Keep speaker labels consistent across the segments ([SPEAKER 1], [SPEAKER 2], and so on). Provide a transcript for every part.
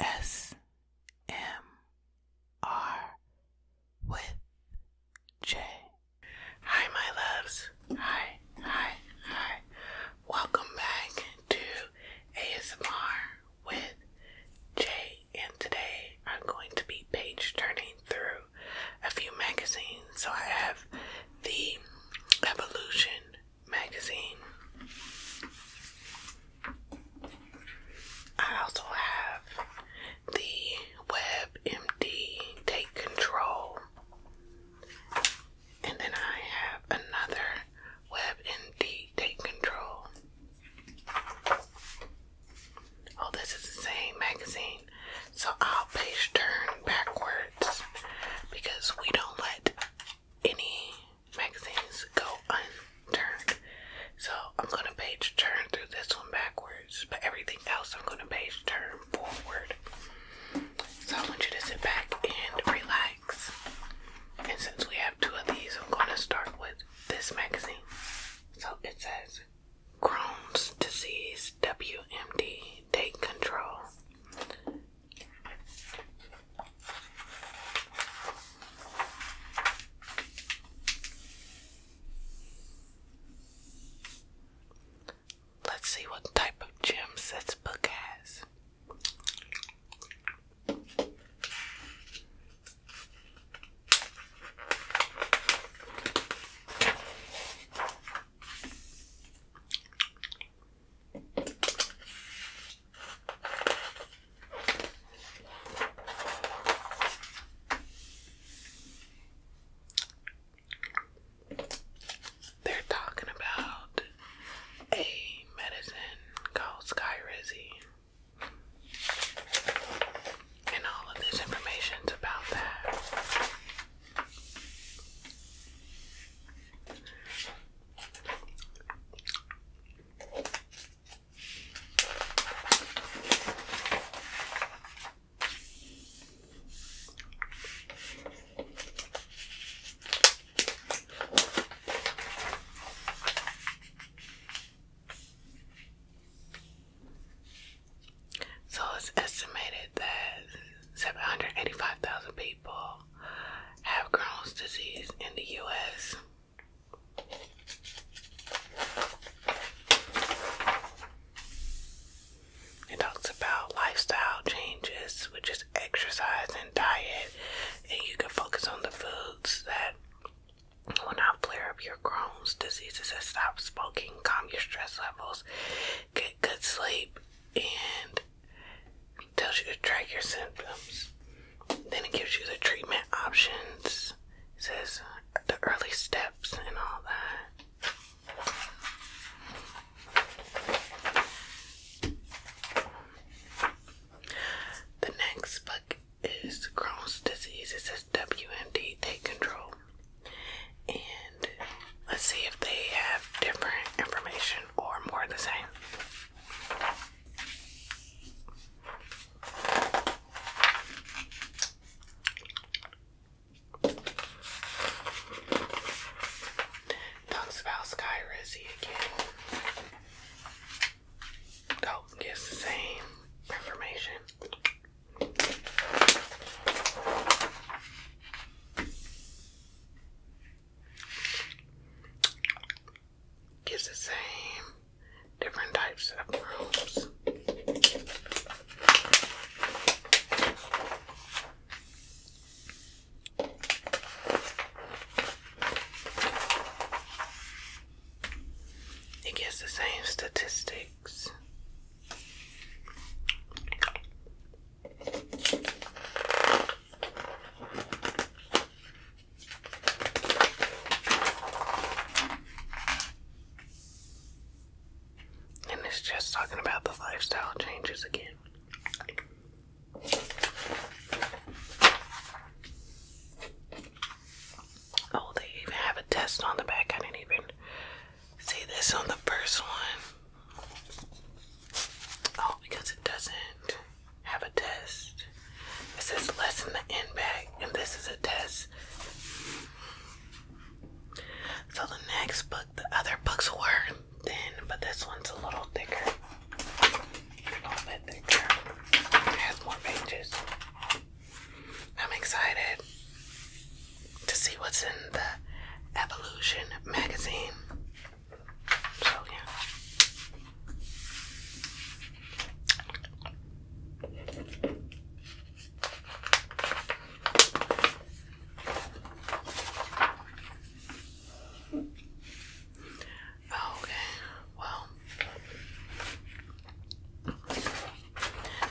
[SPEAKER 1] ASMR with J. Hi, my loves. Hi, hi, hi. Welcome back to ASMR with Jay, and today I'm going to be page turning through a few magazines. So I have the Evolution magazine. I also have the WebMD Take Control. And then I have another WebMD Take Control. Oh, this is the same magazine. So I'll page turn backwards because we don't let any magazines go unturned. So I'm gonna page turn through this one backwards, but everything else I'm gonna page turn forward. So I want you to sit back and relax. And since we have two of these, I'm gonna start with this magazine. So it says Crohn's disease, WMD, take control. Let's see what type of gems this book has. They're talking about a medicine called Skyrizi and all of this information's about that. So it's estimated that 785,000 people have Crohn's disease in the US. It talks about lifestyle changes, which is exercise and diet, and you can focus on the foods that Will not flare up your Crohn's diseases and stop smoking. Calm your stress levels. Get good sleep and tells you to track your symptoms. Then it gives you the treatment options. says the early steps and all that. The next book is Crohn's disease is WMD Take Control. And let's see if they have different information or more the same. Talks about Sky Rizzy again. Oh, gives the same information. Gives the same different types of rooms. It gets the same statistics. And it's just talking about the lifestyle changes again. Oh, they even have a test on the back. I didn't even see this on the first one. Oh, because it doesn't have a test. It says lessen the end back, and this is a test. So the next book, the other books were thin, but this one's a little thicker. I'm excited to see what's in the Evolution magazine. So, yeah. Oh, okay, well,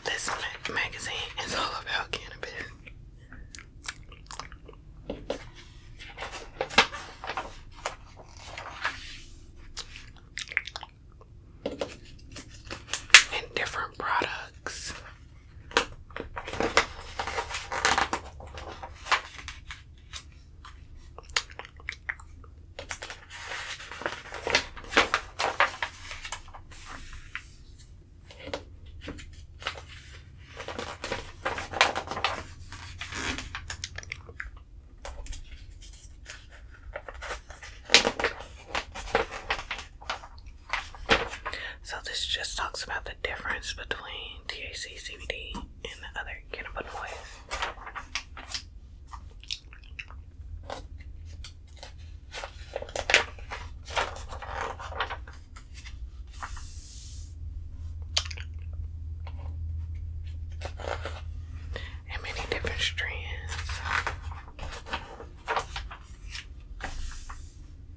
[SPEAKER 1] this magazine is all about cannabis. And different products. So, this just talks about the difference between TAC THC, CBD, and other cannabinoids. And many different strands.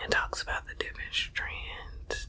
[SPEAKER 1] It talks about the different strands.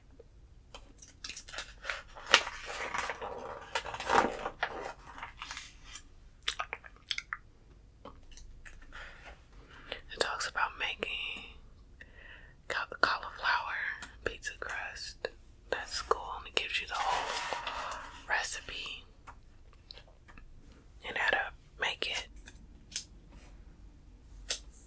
[SPEAKER 1] It talks about making cauliflower pizza crust. That's cool, it gives you the whole recipe and how to make it.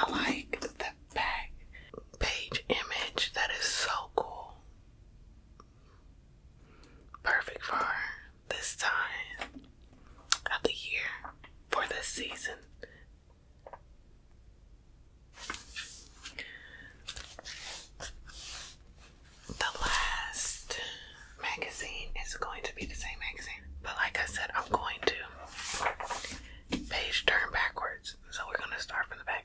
[SPEAKER 1] I like the back page image. That is so cool. Perfect for this time of the year, for this season, the last magazine is going to be the same magazine, but like I said, I'm going to page turn backwards, so we're going to start from the back.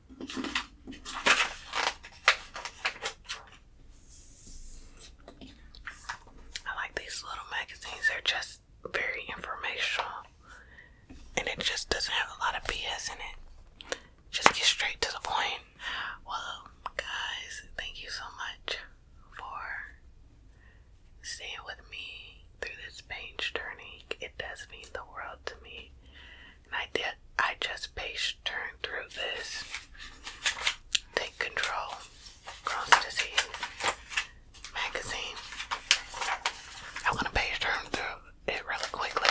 [SPEAKER 1] I like these little magazines, they're just very informational and it just doesn't have a lot of BS in it. Just get straight to the point. Well, guys, thank you so much for staying with me through this page turning. It does mean the world to me. I did, I just page turn through this. Take Control, Cross Disease magazine. I'm gonna page turn through it really quickly.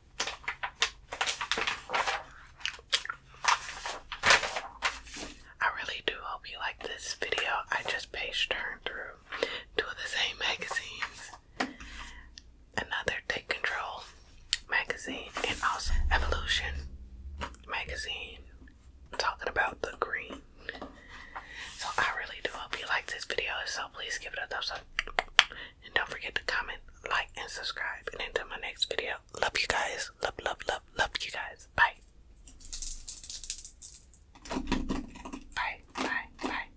[SPEAKER 1] I really do hope you like this video. I just page turned through two of the same magazines. Another Take Control magazine and also Evolution magazine. talking about the green. So I really do hope you like this video. so, please give it a thumbs up and don't forget to comment, like, and subscribe. And until my next video, love you guys. Love, love, love, love you guys. Bye. Bye, bye, bye.